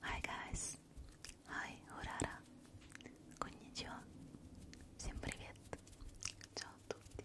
Hi guys! Hi, Urara! Konnichiwa! Ciao tutti!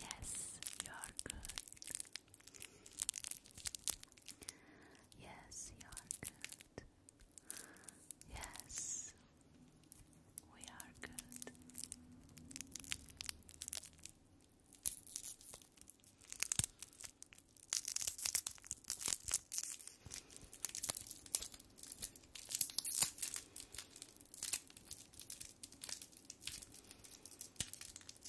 Yes, you are good. Yes, you are good. Yes, we are good.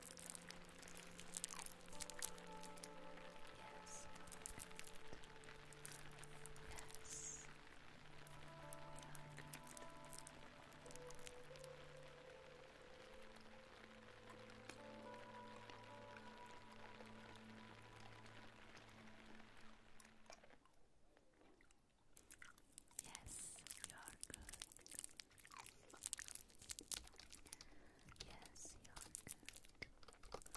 Yes. Yes. Yes, you are good. Yes, you're good.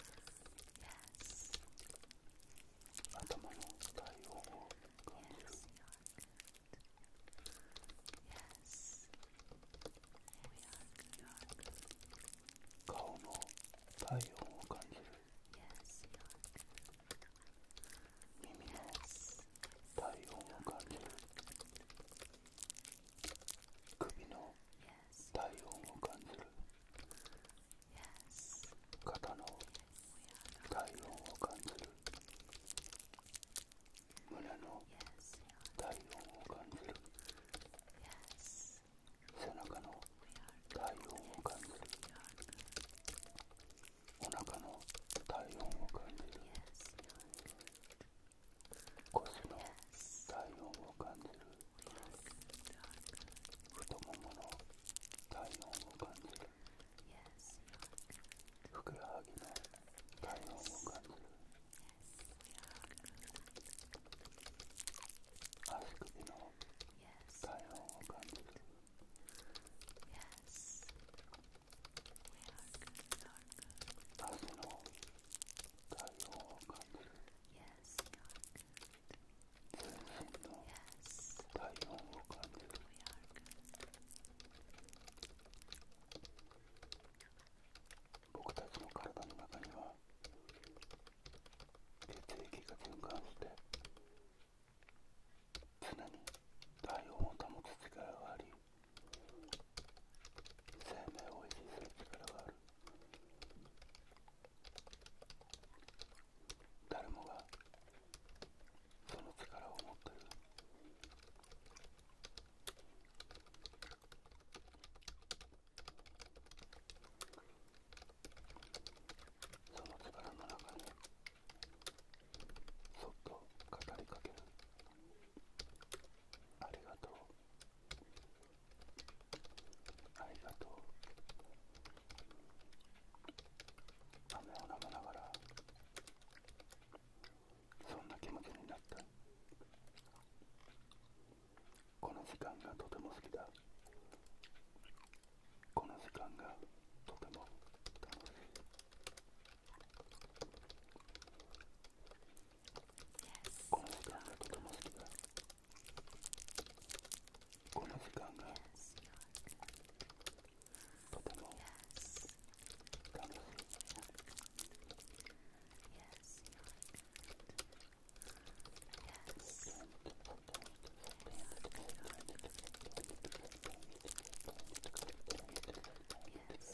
Yes. 頭の使い方を感じる Yes, you're good. Yes. We are good. You're good. 顔の体温を感じる Yes, you're good. 耳の Yes. 体温を感じる Yes, you're good. 首の体温を感じる肩の体温を感じる胸の体温を感じる背中の体温を感じるお腹の体温を感じる腰の体温を感じる太ももの体温を感じるふくらはぎの体温を感じる足首の体温を感じる足の体を感体温を感僕たちの体の中には血液が循環して常に体温を保つ力があり生命を維持する力がある誰もがその力を持ってるその力の中にそっと語りかける。ありがとうありがとう雨を舐めながらそんな気持ちになったこの時間がとても好きだこの時間がとても楽しい Yes. Konozikanga, konozikanga. Konozikanga. Yes, you are. Yes. Kanga. Yes, you are good. Yes. Yes, you are good. Yes.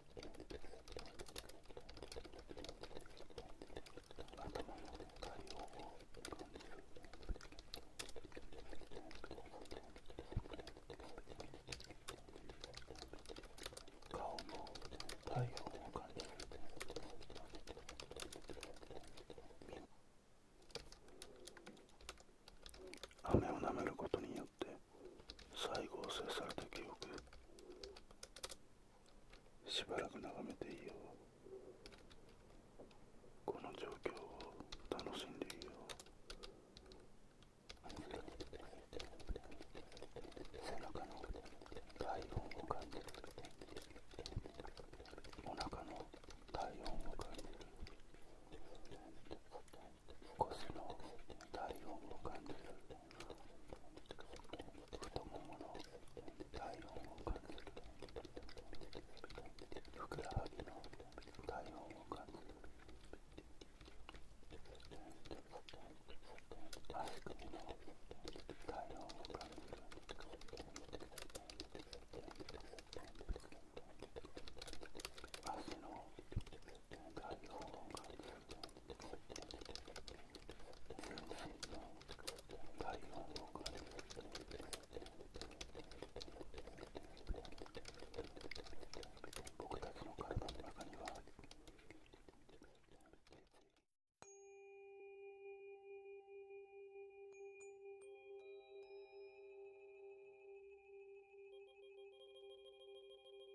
頭の太陽を感じる顔の太陽を感じる雨を舐めることによって最後を制された記憶しばらく眺めていようこの状況を楽しんでいよう背中の体温を感じるお腹の体温を感じる腰の体温を感じるを。太ももの体温を感じるふくらはぎの体温を感じる足首の体温を感じる足の体温を感じる僕たちの体の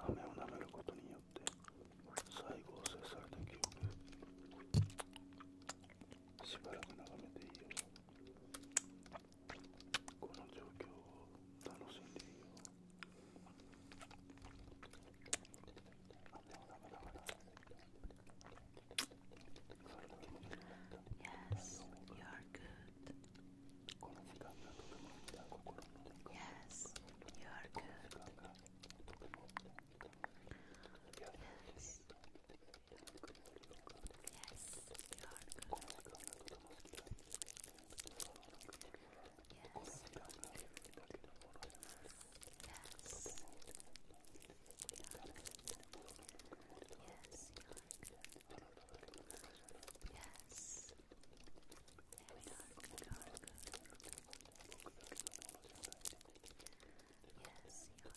雨を舐めることによって再合成された記憶しばらく眺めていいよこの状況を楽しんでいいよ雨を舐めながら Yes, you are good. Yes, you are good. Yes, yes you are good. Yes. Yes. Yes. Yes. Yes. There we you are good. Yes, yes,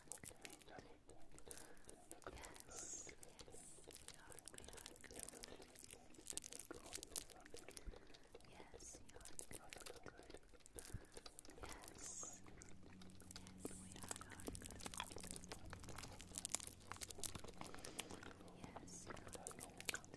you are good. You Yes, you are good. Yes, yes, we are, good. Yes, you are good.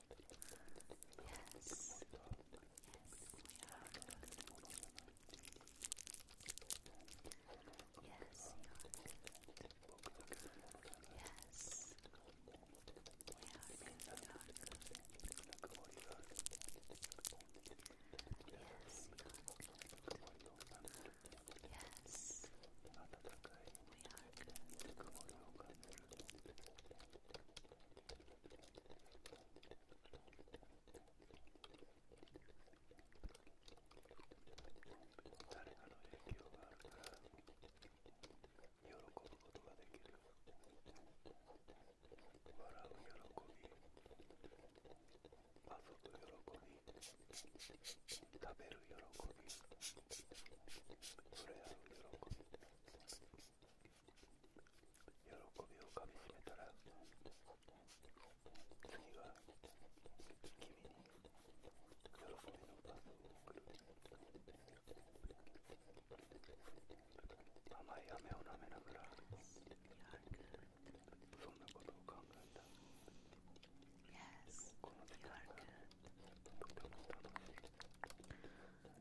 Yes. Yes, we are Yes, you are Yes. We are Yes, you are Yes. We are 誰かの影響があるから喜ぶことができる笑う喜び遊ぶ喜び食べる喜び触れ合う喜び喜びをかみしめたら次は君に喜びのパスを送る甘い飴を舐めながらそんなことを考えたこの時間がとても楽しい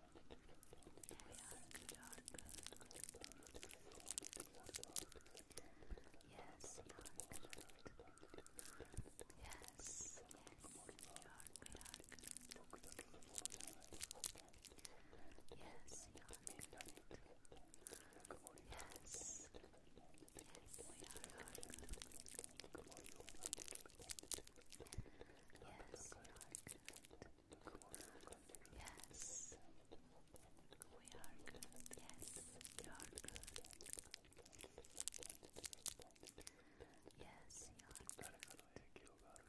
Yes, you are Yes, yes, Yes, Yes, Yes, we are good. Yes, you are good. Yes, you are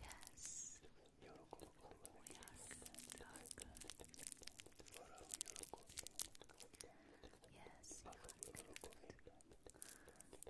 Yes, You are good. Yes, you are good.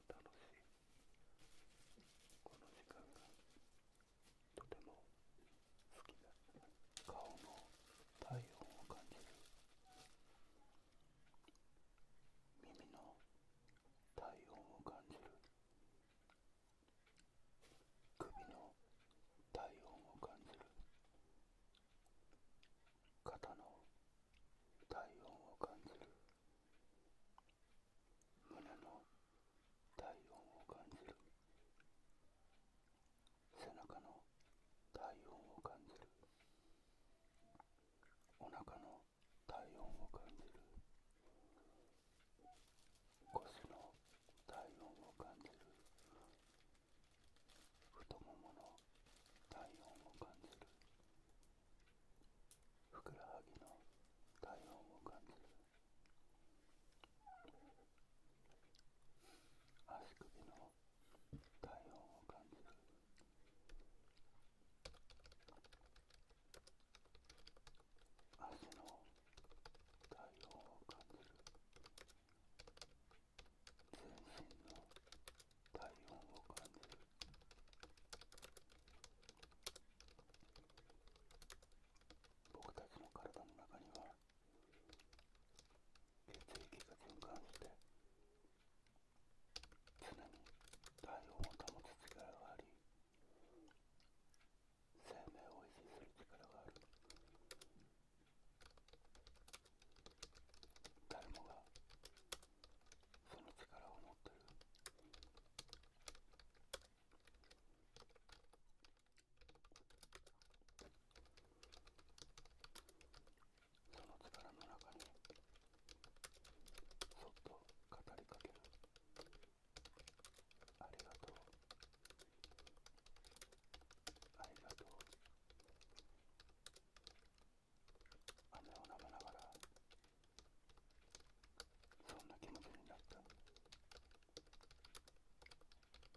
楽しいこの時間がとても好きだ顔の体温を感じる耳の体温を感じる首の体温を感じる肩の体温を感じる胸の体温を感じる背中の体温を感じるお腹の体温を感じる腰の体温を感じる太ももの体温を感じるふくらはぎの体温を感じる足首の体温を感じる足の体温を感じる全身の体温を感じる僕たちの体の中には血液が循環して常に体温を保つ力があり生命を維持する力がある誰もがその力を持ってるその力の中にそっと語りかけるありがとうありがとう雨を舐めながらそんな気持ちになった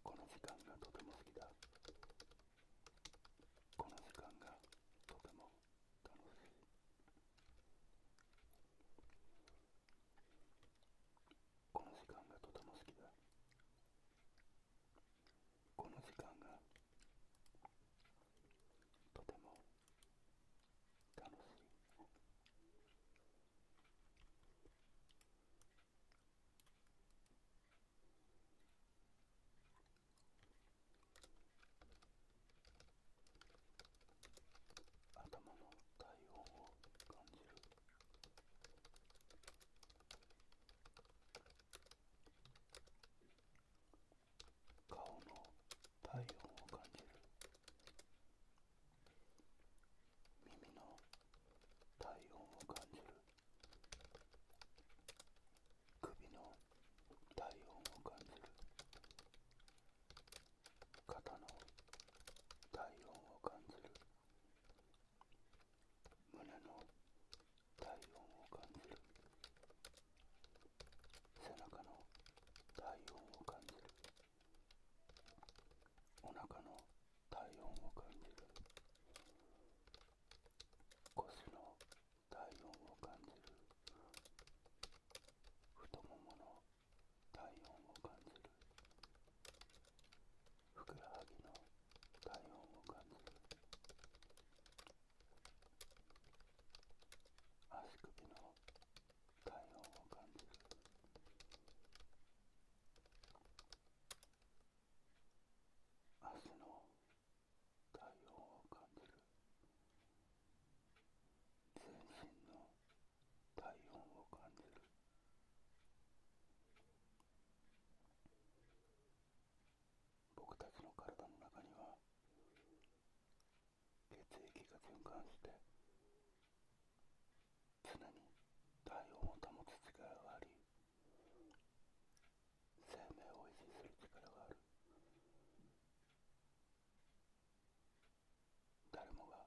この時間がとても好きだこの時間がとても楽しいこの時間がとても好きだこの時間がとても楽しい。頭の体温を感じる。顔の体温を感じる耳の体温を感じる首の体温を感じる肩の体温を感じる胸の体温を感じる背中の体温を感じるお腹の体温を感じる腰の体温を感じる太ももの体温を感じるふくらはぎの体温を感じる足首の体温を感じる足の体温を感じる全身の体温を感じる僕たちの体の中には血液が循環して常に体温を保つ力があり生命を維持する力がある誰もが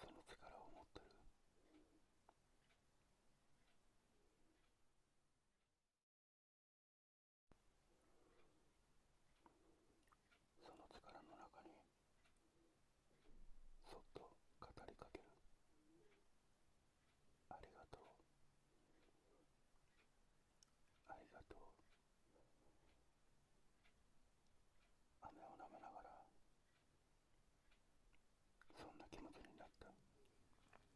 その力を持ってるその力の中にそっと語りかけるありがとうありがとう雨を舐めながらそんな気持ちになった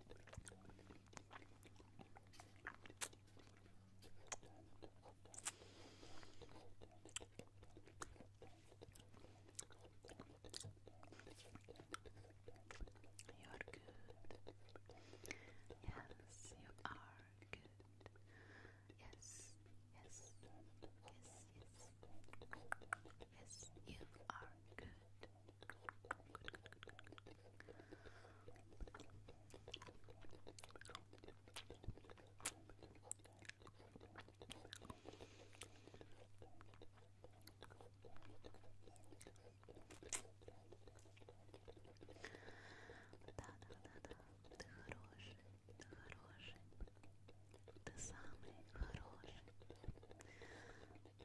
You are good. Yes, you are good. Yes, yes, yes, yes. Yes, you are good. Good, good, good, good, Да-да-да-да, ты хороший, ты хороший, ты самый хороший.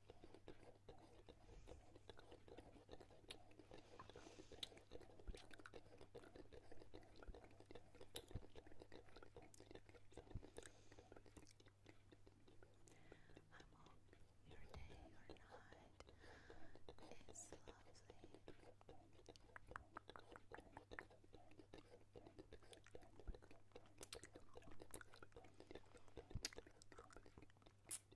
I'm on your day or night. It's lovely.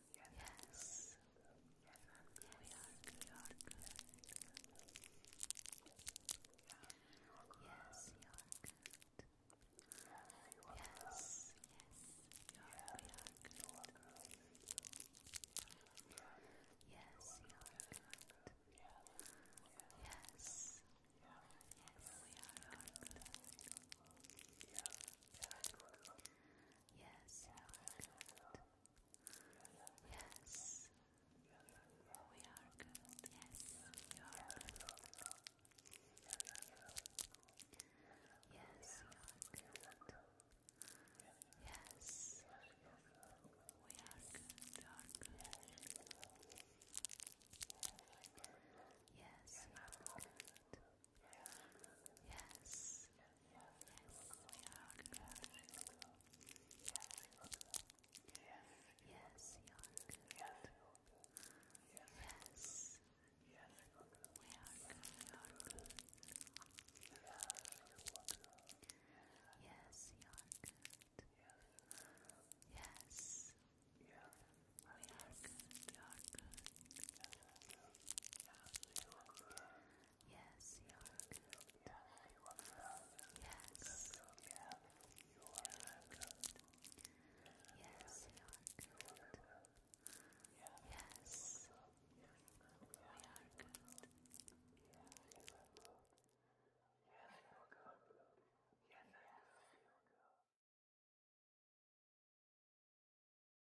Yes. We are We are good. Yes, you are good. Yes, yes, you are, good. Yes, you are good. Yes, yes, we are, you are good. Yes, good. Yes, we are good. Yes, you are good. Yes, you are good. Yes, we are good. You are good. Yes, you are good. Yes. Yes, we are good. Yes, you are good. Yes. We Yes, Yes. Yes, you are good. Yes, you are good. Yes, you are good. Yes, we are good.